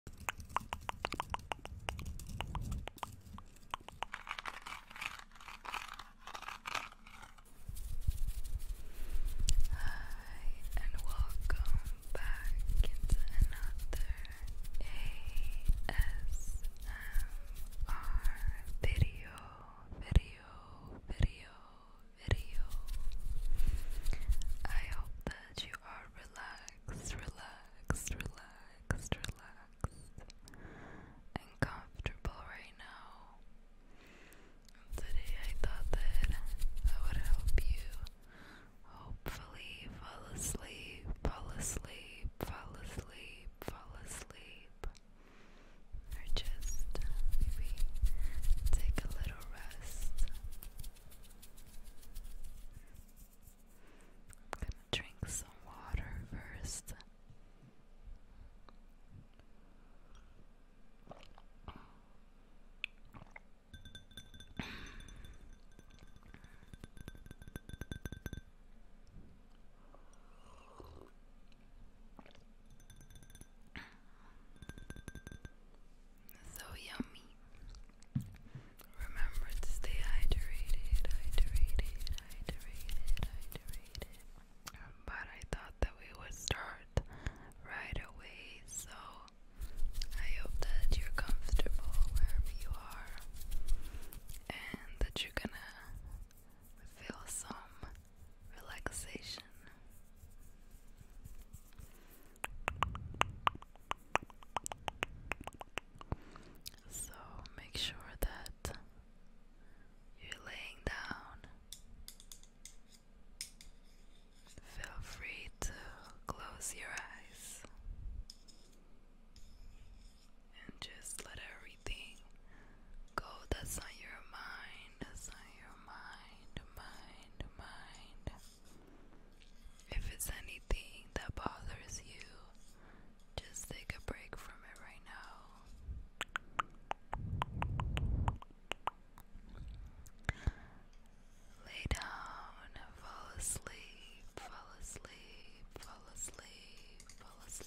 Hi, and welcome back into another ASMR video, video, video, video. I hope that you are relaxed relaxed, relaxed, relaxed, and comfortable right now. today I thought that I would help you hopefully fall asleep, fall asleep, fall asleep, fall asleep, or just maybe take a little rest. I'm gonna drink some water first. So yummy. Remember to stay hydrated, hydrated, hydrated, hydrated. But I thought that we would start right away, so I hope that you're comfortable wherever you are and that you're gonna feel some relaxation. So make sure that you're laying down. Feel free to close your eyes and just let everything go that's on your mind inside your mind, mind, mind. If it's anything that bothers you, just take a break from it right now. Lay down, fall asleep, fall asleep, fall asleep, fall asleep.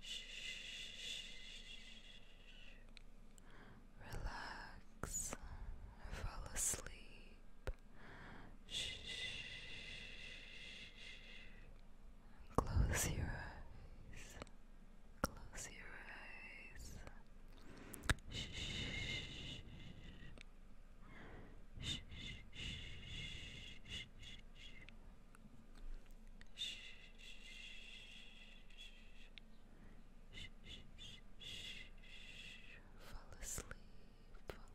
Shh. Relax. Fall asleep. Shh. Close your eyes. Close your eyes. Shh. Shh. Shh. Fall asleep,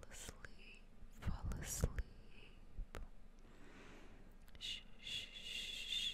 fall asleep, fall asleep. Shh, shh, shh, shh.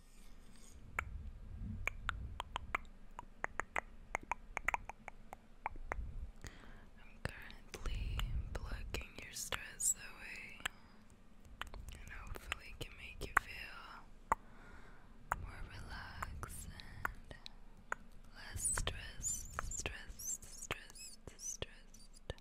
I'm currently blocking your stress away and hopefully can make you feel more relaxed and less stressed, stressed, stressed, stressed.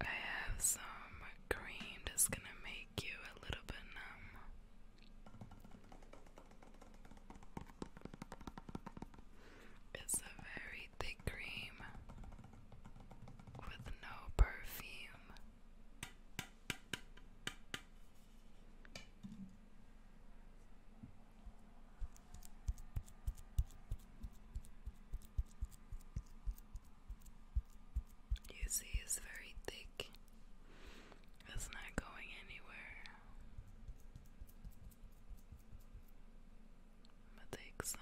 I have some cream that's gonna make you a little bit numb. It's a very thick cream with no perfume. You see, it's very thick, it's not going anywhere. I'm gonna take some.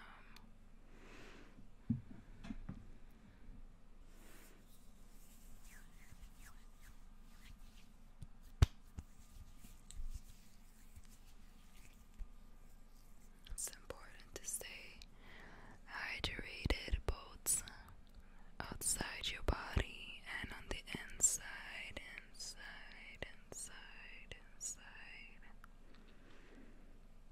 It's important to stay hydrated both outside your body and on the inside, inside, inside, inside.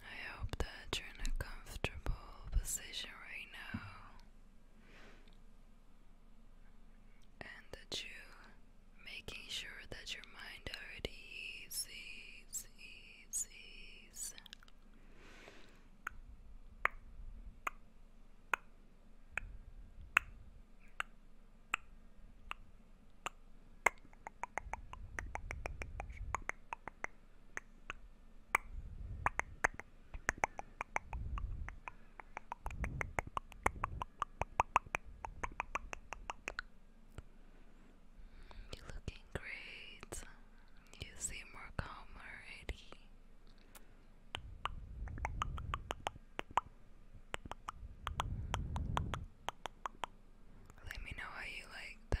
I hope that you're in a comfortable position right now and that you making sure that your mind already is is is, is. You're looking great. You seem more calm already. Let me know how you like that.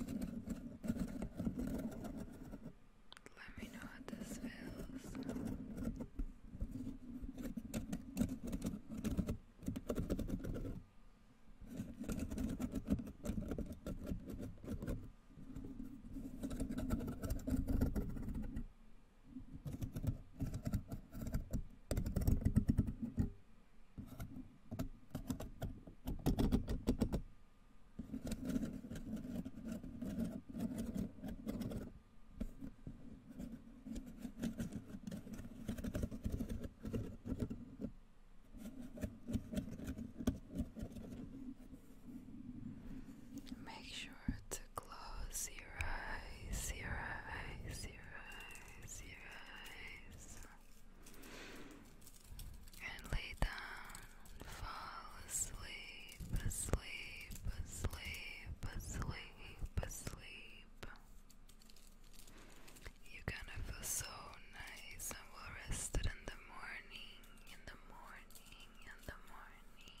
Let me know how this feels. Make sure to close your eyes, your eyes, your eyes, your eyes and lay down, fall asleep, asleep, asleep, asleep, asleep. You're gonna feel so nice and well rested in the morning, in the morning, in the morning.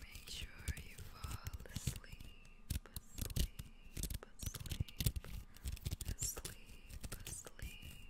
Make sure you fall asleep, asleep, asleep, asleep, asleep.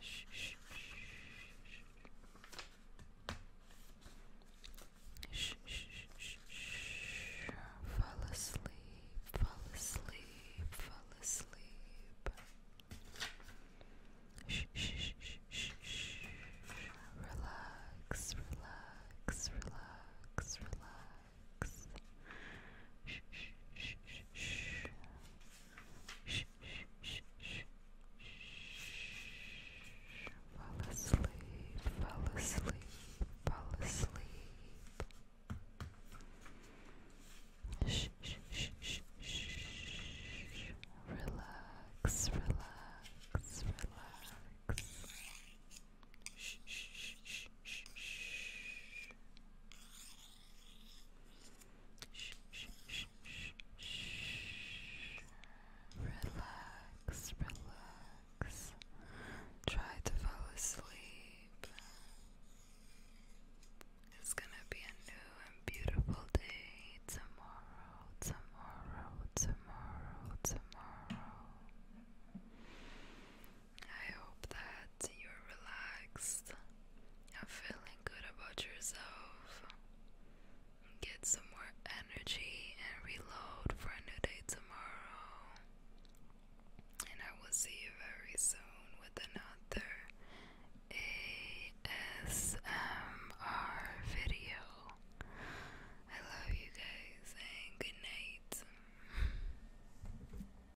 Shh, shh, shh. Shh, shh, shh, shh. Fall asleep, fall asleep, fall asleep. Shh, shh, shh, shh, shh. Relax, relax, relax, relax. Shh, shh, shh, shh, shh. Shh, shh, shh, shh, shh. Fall asleep, fall asleep, fall asleep. Shh, shh, shh, shh, shh. Relax, relax, relax. Shh, shh, shh, shh, shh. Shh, shh, shh, shh, Relax, relax. Try to fall asleep. It's gonna be a new and beautiful day tomorrow, tomorrow, tomorrow, tomorrow. I hope that you're relaxed and feeling good about yourself. Get some more energy and reload for a new day tomorrow. And I will see you very soon with another ASMR video. I love you guys and good night.